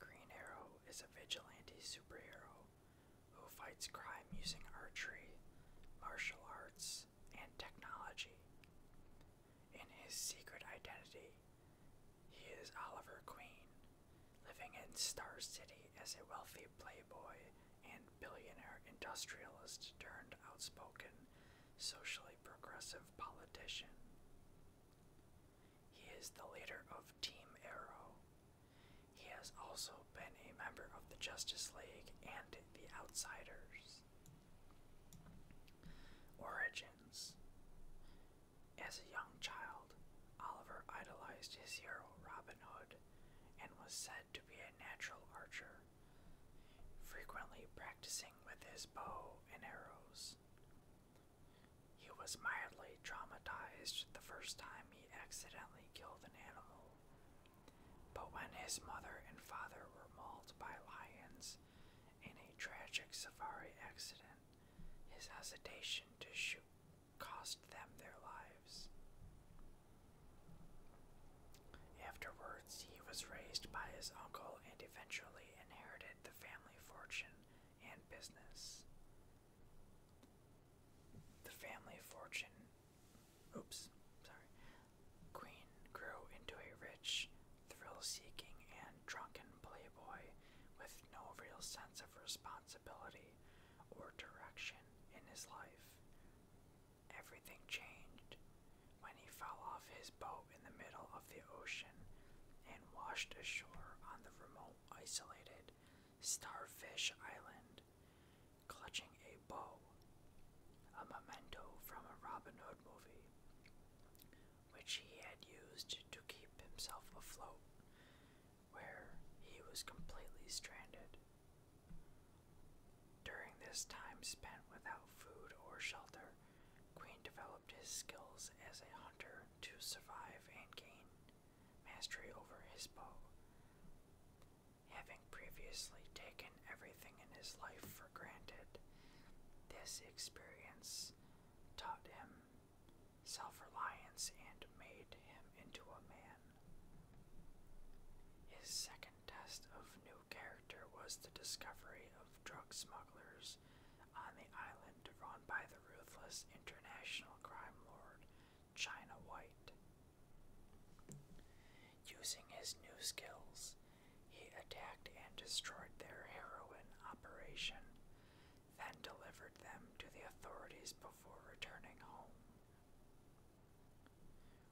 Green Arrow is a vigilante superhero who fights crime using archery, martial arts, and technology. In his secret identity, he is Oliver Queen, living in Star City as a wealthy playboy and billionaire industrialist turned outspoken socially progressive politician. He is the leader of Team Arrow. He has also been a member of the Justice League and the Outsiders. Origins As a young child, Oliver idolized his hero Robin Hood and was said to be a natural archer frequently practicing with his bow and arrows. He was mildly traumatized the first time he accidentally killed an animal, but when his mother and father were mauled by lions in a tragic safari accident, his hesitation to shoot cost them their lives. Afterwards, he was raised by his uncle and eventually inherited the family fortune and business. The family fortune, oops, sorry, Queen grew into a rich, thrill seeking, and drunken playboy with no real sense of responsibility or direction in his life. Everything changed when he fell off his boat in the middle of the ocean and washed ashore on the remote, isolated Starfish Island, clutching a bow, a memento from a Robin Hood movie, which he had used to keep himself afloat, where he was completely stranded. During this time spent without food or shelter, Queen developed his skills as a hunter to survive and gain mastery over his bow. Having previously taken everything in his life for granted, this experience taught him self reliance and made him into a man. His second test of new character was the discovery of drug smugglers on the island run by the ruthless international crime lord China White. Using his new skills, he attacked and destroyed their heroin operation, then delivered them to the authorities before returning home.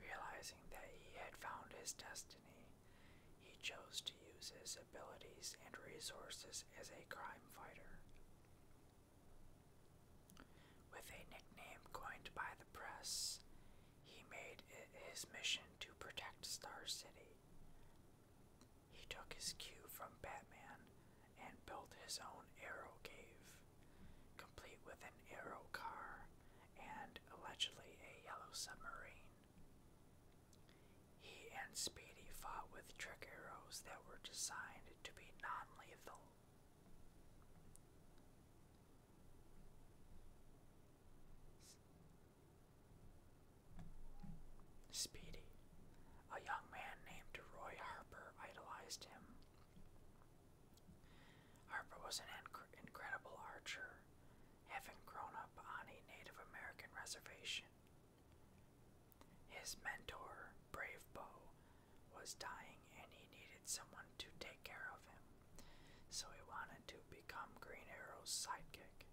Realizing that he had found his destiny, he chose to use his abilities and resources as a crime fighter. With a nickname coined by the press, he made it his mission to protect Star City. He took his cue from Batman and built his own arrow cave, complete with an arrow car and allegedly a yellow submarine. He and Speedy fought with trick arrows that were designed to be non lethal. Speedy. A young man named Roy Harper idolized him. Harper was an incredible archer having grown up on a Native American reservation. His mentor, Brave Bo, was dying and he needed someone to take care of him, so he wanted to become Green Arrow's sidekick.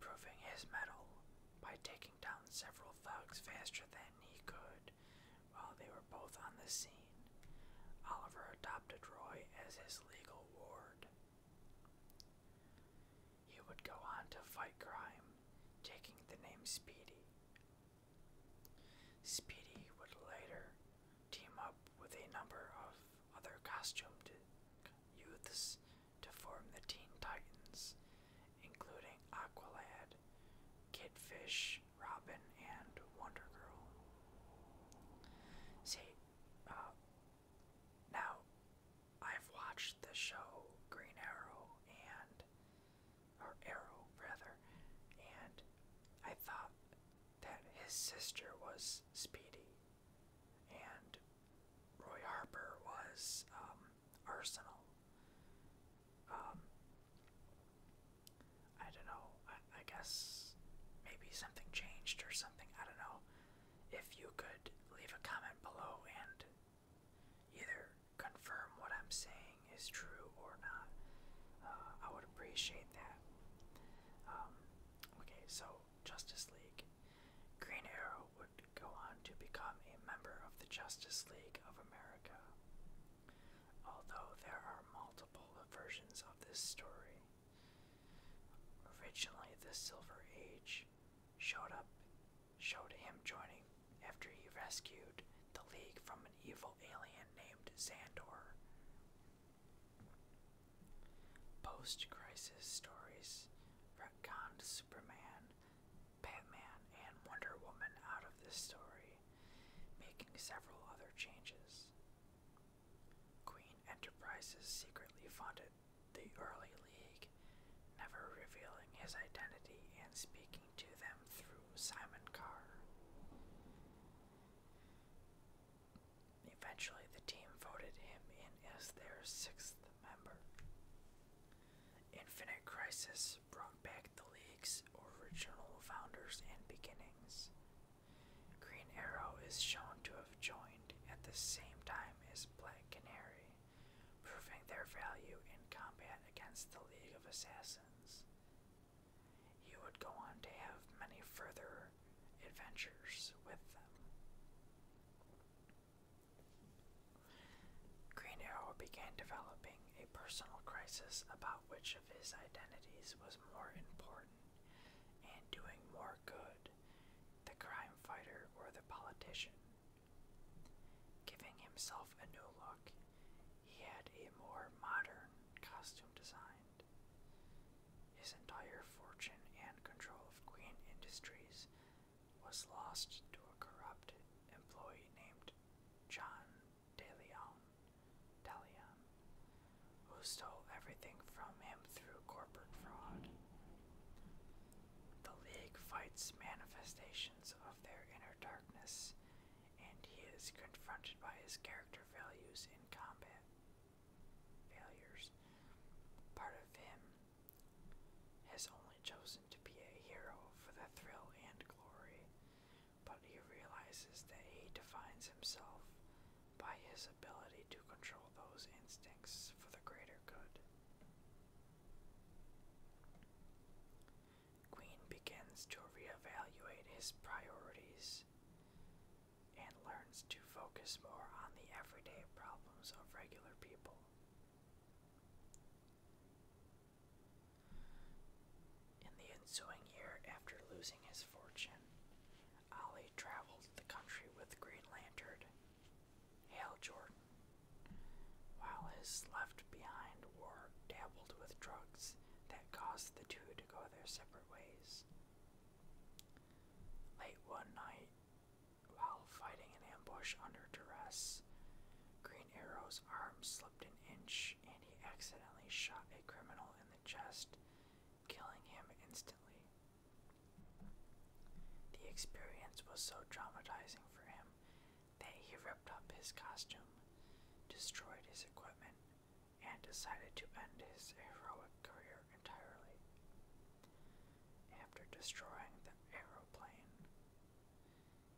Proving his mettle by taking down several thugs faster than he could while they were both on the scene, Oliver adopted adopted Roy as his legal ward. He would go on to fight crime, taking the name Speedy. Speedy would later team up with a number of other costumed youths to form the Teen Titans, including Aqualad, Kidfish, Robin, and Wonder Girl. See, um, now, I've watched the show Green Arrow and, or Arrow rather, and I thought that his sister was Speedy, and Roy Harper was um, Arsenal. Um, I don't know. I, guess maybe something changed or something. I don't know. If you could leave a comment below and either confirm what I'm saying is true or not, uh, I would appreciate that. Um, okay, so Justice League. Green Arrow would go on to become a member of the Justice League of America. Although there are multiple versions of this story, Originally, the Silver Age showed up, showed him joining after he rescued the League from an evil alien named Zandor. Post-crisis stories retconned Superman, Batman, and Wonder Woman out of this story, making several other changes. Queen Enterprises secretly funded the early league, never revealing his identity and speaking to them through Simon Carr. Eventually, the team voted him in as their sixth member. Infinite Crisis brought back the League's original founders and beginnings, Green Arrow is shown to have joined at the same time as Black Canary, proving their value in combat against the League of Assassins. He would go on to have many further adventures with them. Green Arrow began developing a personal crisis about which of his identities was more important and doing more good, the crime fighter or the politician. Giving himself a new look, he had a more modern costume designed. His entire fortune and control of Queen Industries was lost to a corrupt employee named John DeLeon, who stole everything from him through corporate fraud. The League fights manifestations of their inner darkness, and he is confronted by his character values in combat failures. Part of him has only chosen to be a hero for the thrill and glory, but he realizes that he defines himself by his ability to control those instincts for the greater good. Queen begins to reevaluate his priorities and learns to focus more on the everyday problems of regular people. In the ensuing year after losing his fortune, Ali traveled the country with Green Lantern. Hale Jordan. While his left behind war dabbled with drugs that caused the two to go their separate ways. Late one night, while fighting an ambush under duress, Green Arrow's arm slipped an inch and he accidentally shot a criminal in the chest killing him instantly. The experience was so traumatizing for him that he ripped up his costume, destroyed his equipment, and decided to end his heroic career entirely. After destroying the aeroplane,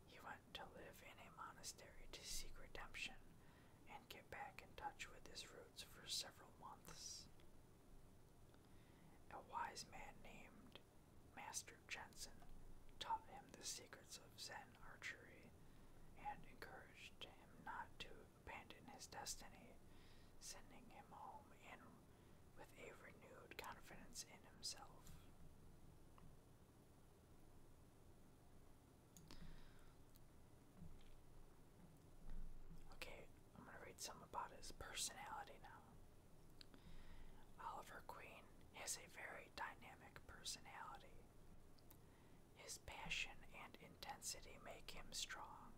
he went to live in a monastery to seek redemption and get back in touch with his roots for several months. A wise man named Master Jensen taught him the secrets of Zen archery and encouraged him not to abandon his destiny, sending him home in with a renewed confidence in himself. Okay, I'm gonna read some about his personality now. Oliver Queen has a very dynamic personality. His passion and intensity make him strong,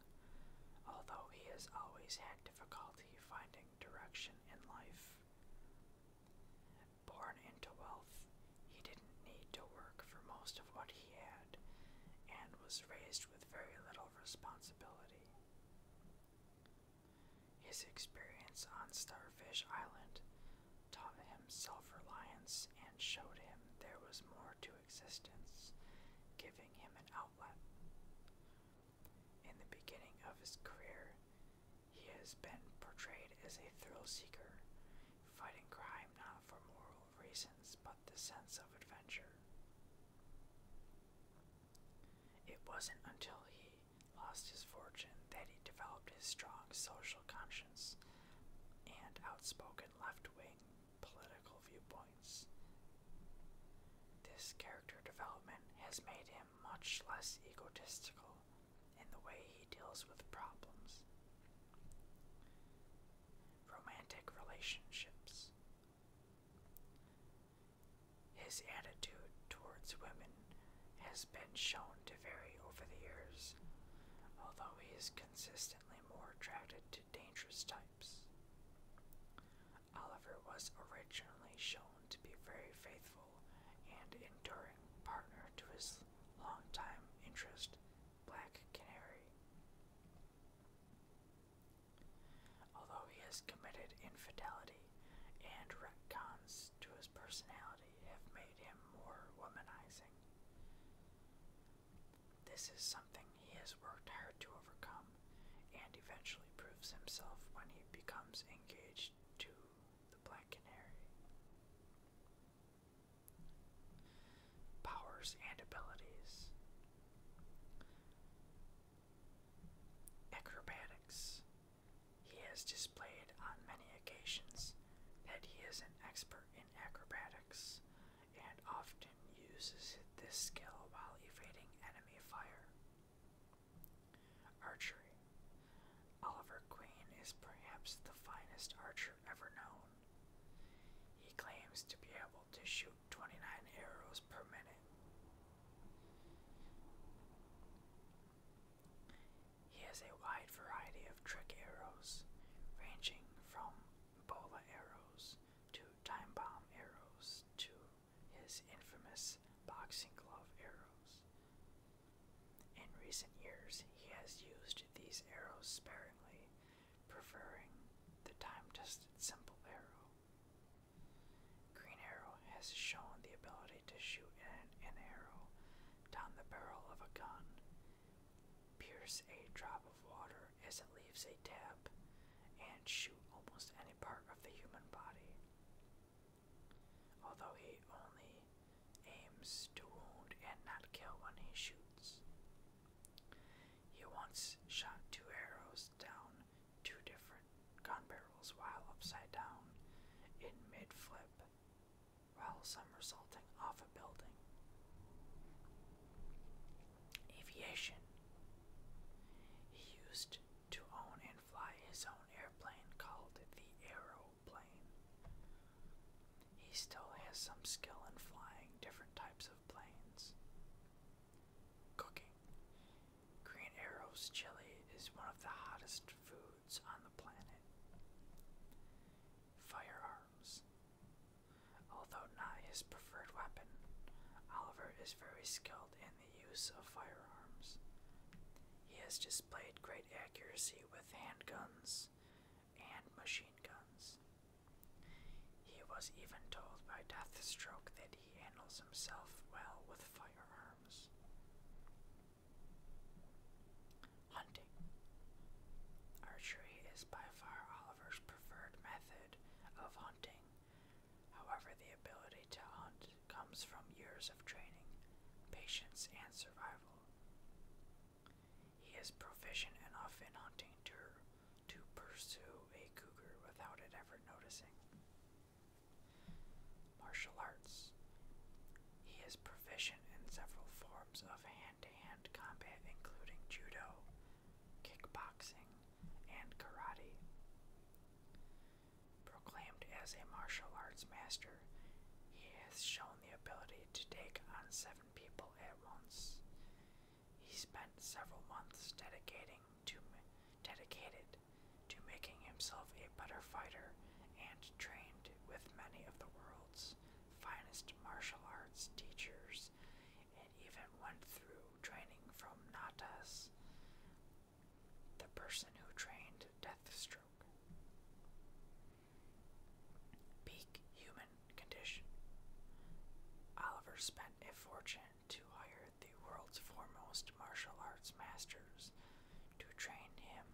although he has always had difficulty finding direction in life. Born into wealth, he didn't need to work for most of what he had and was raised with very little responsibility. His experience on Starfish Island taught him self reliance and showed him there was more to existence, giving him an outlet. In the beginning of his career, he has been portrayed as a thrill seeker, fighting crime not for moral reasons but the sense of adventure. It wasn't until he lost his fortune that he developed his strong social conscience and outspoken left wing political viewpoints. This character development has made him much less egotistical in the way he deals with problems. Romantic relationships. His attitude towards women has been shown to vary over the years, although he is consistently more attracted to dangerous types. Oliver was originally shown to be a very faithful and enduring partner to his longtime interest, Black Canary. Although he has committed infidelity and retcons to his personality have made him more womanizing. This is something he has worked hard to overcome and eventually proves himself when he becomes engaged to the Black Canary. Powers and abilities. Acrobatics. He has displayed on many occasions that he is an expert in acrobatics and often uses this skill while evading enemy fire. Archery. Oliver Queen is perhaps the finest archer ever known. He claims to be able to shoot 29 arrows per minute. He has a wide variety of trick arrows, ranging from bola arrows to time bomb arrows to his infamous boxing glove arrows. In recent years, he has used these arrows sparingly, preferring the time tested simple arrow. Green Arrow has shown the ability to shoot an, arrow down the barrel of a gun, pierce a drop of water as it leaves a tab, and shoot almost any part of the human body. Although he only aims to wound and not kill when he shoots. He once shot two arrows down two different gun barrels while upside down in mid flip while some resulting off a building. Aviation. He used to own and fly his own airplane called the Aeroplane. He still has some skill in flying different types of planes cooking. Green Arrow's chili is one of the hottest foods on the planet. Firearms. Although not his preferred weapon, Oliver is very skilled in the use of firearms. He has displayed great accuracy with handguns and machine guns. He was even told by Deathstroke that he handles himself well with firearms. Hunting. Archery is by far Oliver's preferred method of hunting. However, the ability to hunt comes from years of training, patience, and survival. He is proficient enough in hunting to to pursue a cougar without it ever noticing. Martial arts. He is proficient in several forms of hand to hand combat, including judo, kickboxing, and karate. Proclaimed as a martial arts master, he has shown the ability to take on seven people at once, he spent several months dedicating to dedicated to making himself a better fighter and trained with many of the world's finest martial arts teachers and even went through training from Natas, the person who trained Deathstroke. Peak human condition. Oliver spent a fortune to hire the world's foremost martial arts masters to train him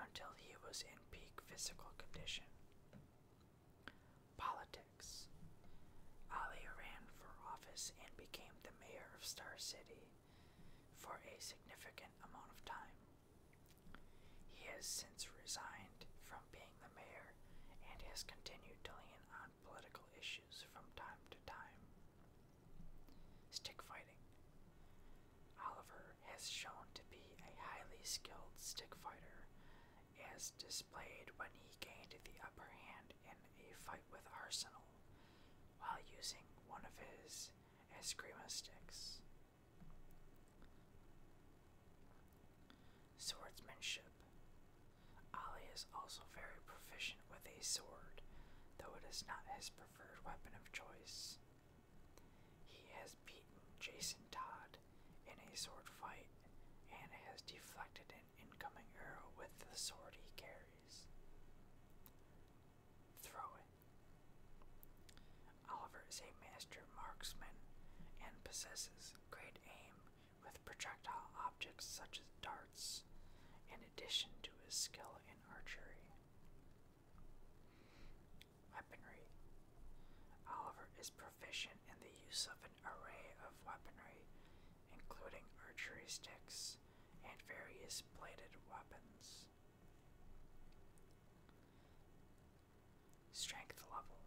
until he was in peak physical condition. Politics Ali ran for office and became the mayor of Star City for a significant amount of time. He has since resigned from being the mayor and has continued to lean on political issues from time to time. Stick fighting. Oliver has shown to be a highly skilled stick fighter, as displayed when he gained the upper hand in a fight with Arsenal while using one of his Eskrima sticks. Swordsmanship. Ali is also very proficient with a sword, though it is not his preferred weapon of choice. He has beaten Jason Todd in a sword fight and has deflected an incoming arrow with the sword he carries. Throwing. Oliver is a master marksman and possesses great aim with projectile objects such as darts, in addition to his skill in archery. Weaponry Oliver is proficient in the use of an array of weaponry, including archery sticks and various bladed weapons. Strength level.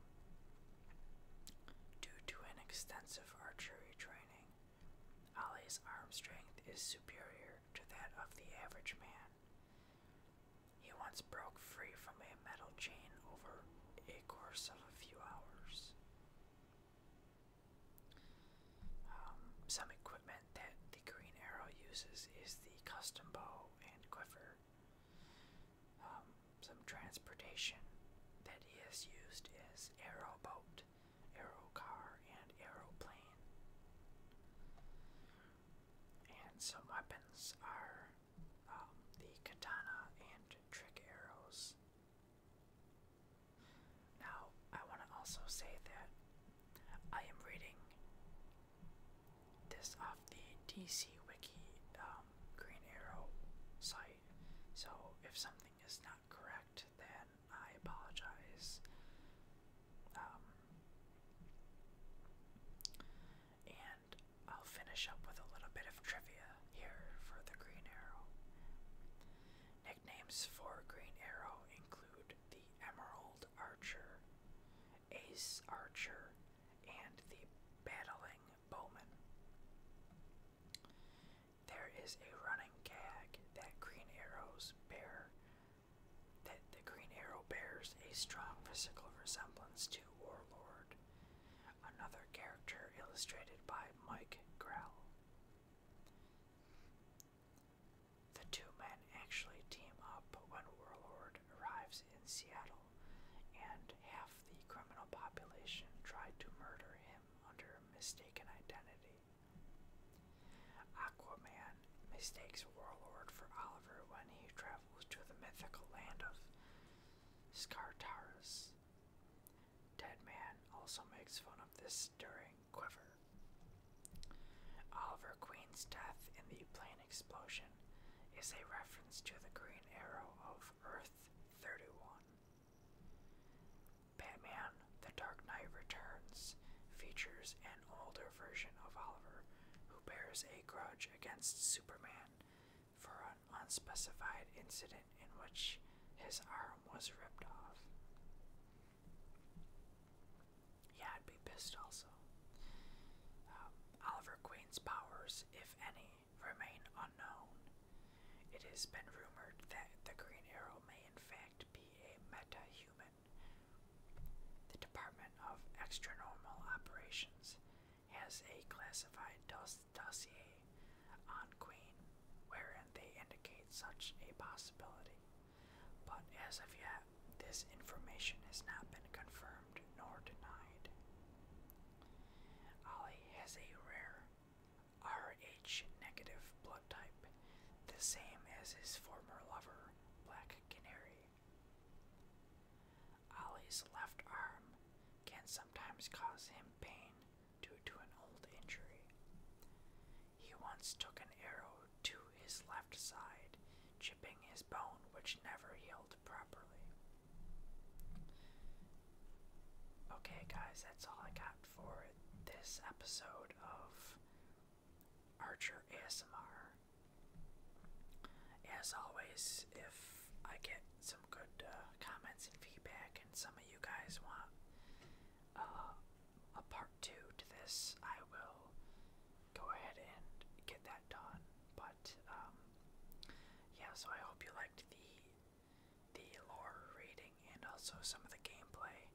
Due to an extensive archery training, Ali's arm strength is superior to that of the average man. He once broke free from a metal chain over a course of a few hours. Um, some equipment that the Green Arrow uses is the custom bow and quiver. Um, some transportation that he has used is as aeroboat, aerocar, and aeroplane. And some weapons are um, the katana and trick arrows. Now, I want to also say that I am reading this off the DC Wiki um, Green Arrow site, so if something is not correct, then I apologize. Um, and I'll finish up with a little bit of trivia here for the Green Arrow. Nicknames for Green Arrow include the Emerald Archer, Ace Archer, and the Battling Bowman. There is a running gag that green arrows bear that the green arrow bears a strong physical resemblance to Warlord, another character illustrated by Mike Grell. The two men actually team up when Warlord arrives in Seattle, and half the criminal population tried to murder him under mistaken identity. Aquaman mistakes Warlord for Oliver when he travels to the mythical land of Scartaris. Deadman also makes fun of this stirring quiver. Oliver Queen's death in the plane explosion is a reference to the green arrow of Earth 31. Batman The Dark Knight Returns features an older version of Oliver who bears a grudge against Superman for an unspecified incident in which his arm was ripped off. Yeah, I'd be pissed also. Um, Oliver Queen's powers, if any, remain it has been rumored that the Green Arrow may in fact be a meta-human. The Department of Extranormal Operations has a classified dossier on Queen wherein they indicate such a possibility. But as of yet, this information has not been confirmed nor denied. Ollie has a rare Rh negative blood type, the same as his former lover, Black Canary. Ali's left arm can sometimes cause him pain due to an old injury. He once took an arrow to his left side, chipping his bone, which never healed properly. Okay, guys, that's all I got for this episode of Archer ASMR. As always, if I get some good uh, comments and feedback, and some of you guys want uh, a part two to this, I will go ahead and get that done. But, um, yeah, so I hope you liked the the lore reading and also some of the gameplay.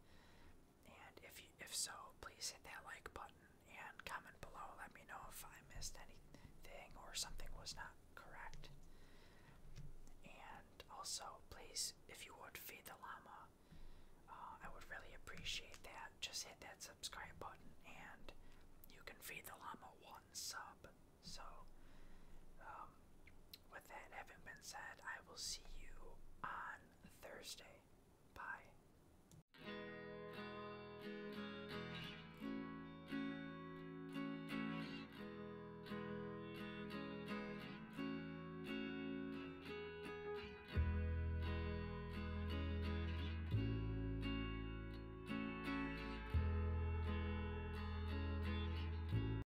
And if you, if so, please hit that like button and comment below. Let me know if I missed anything or something was not correct. And also, please, if you would feed the llama, uh, I would really appreciate that. Just hit that subscribe button, and you can feed the llama one sub. So, um, with that having been said, I will see you on Thursday. Bye.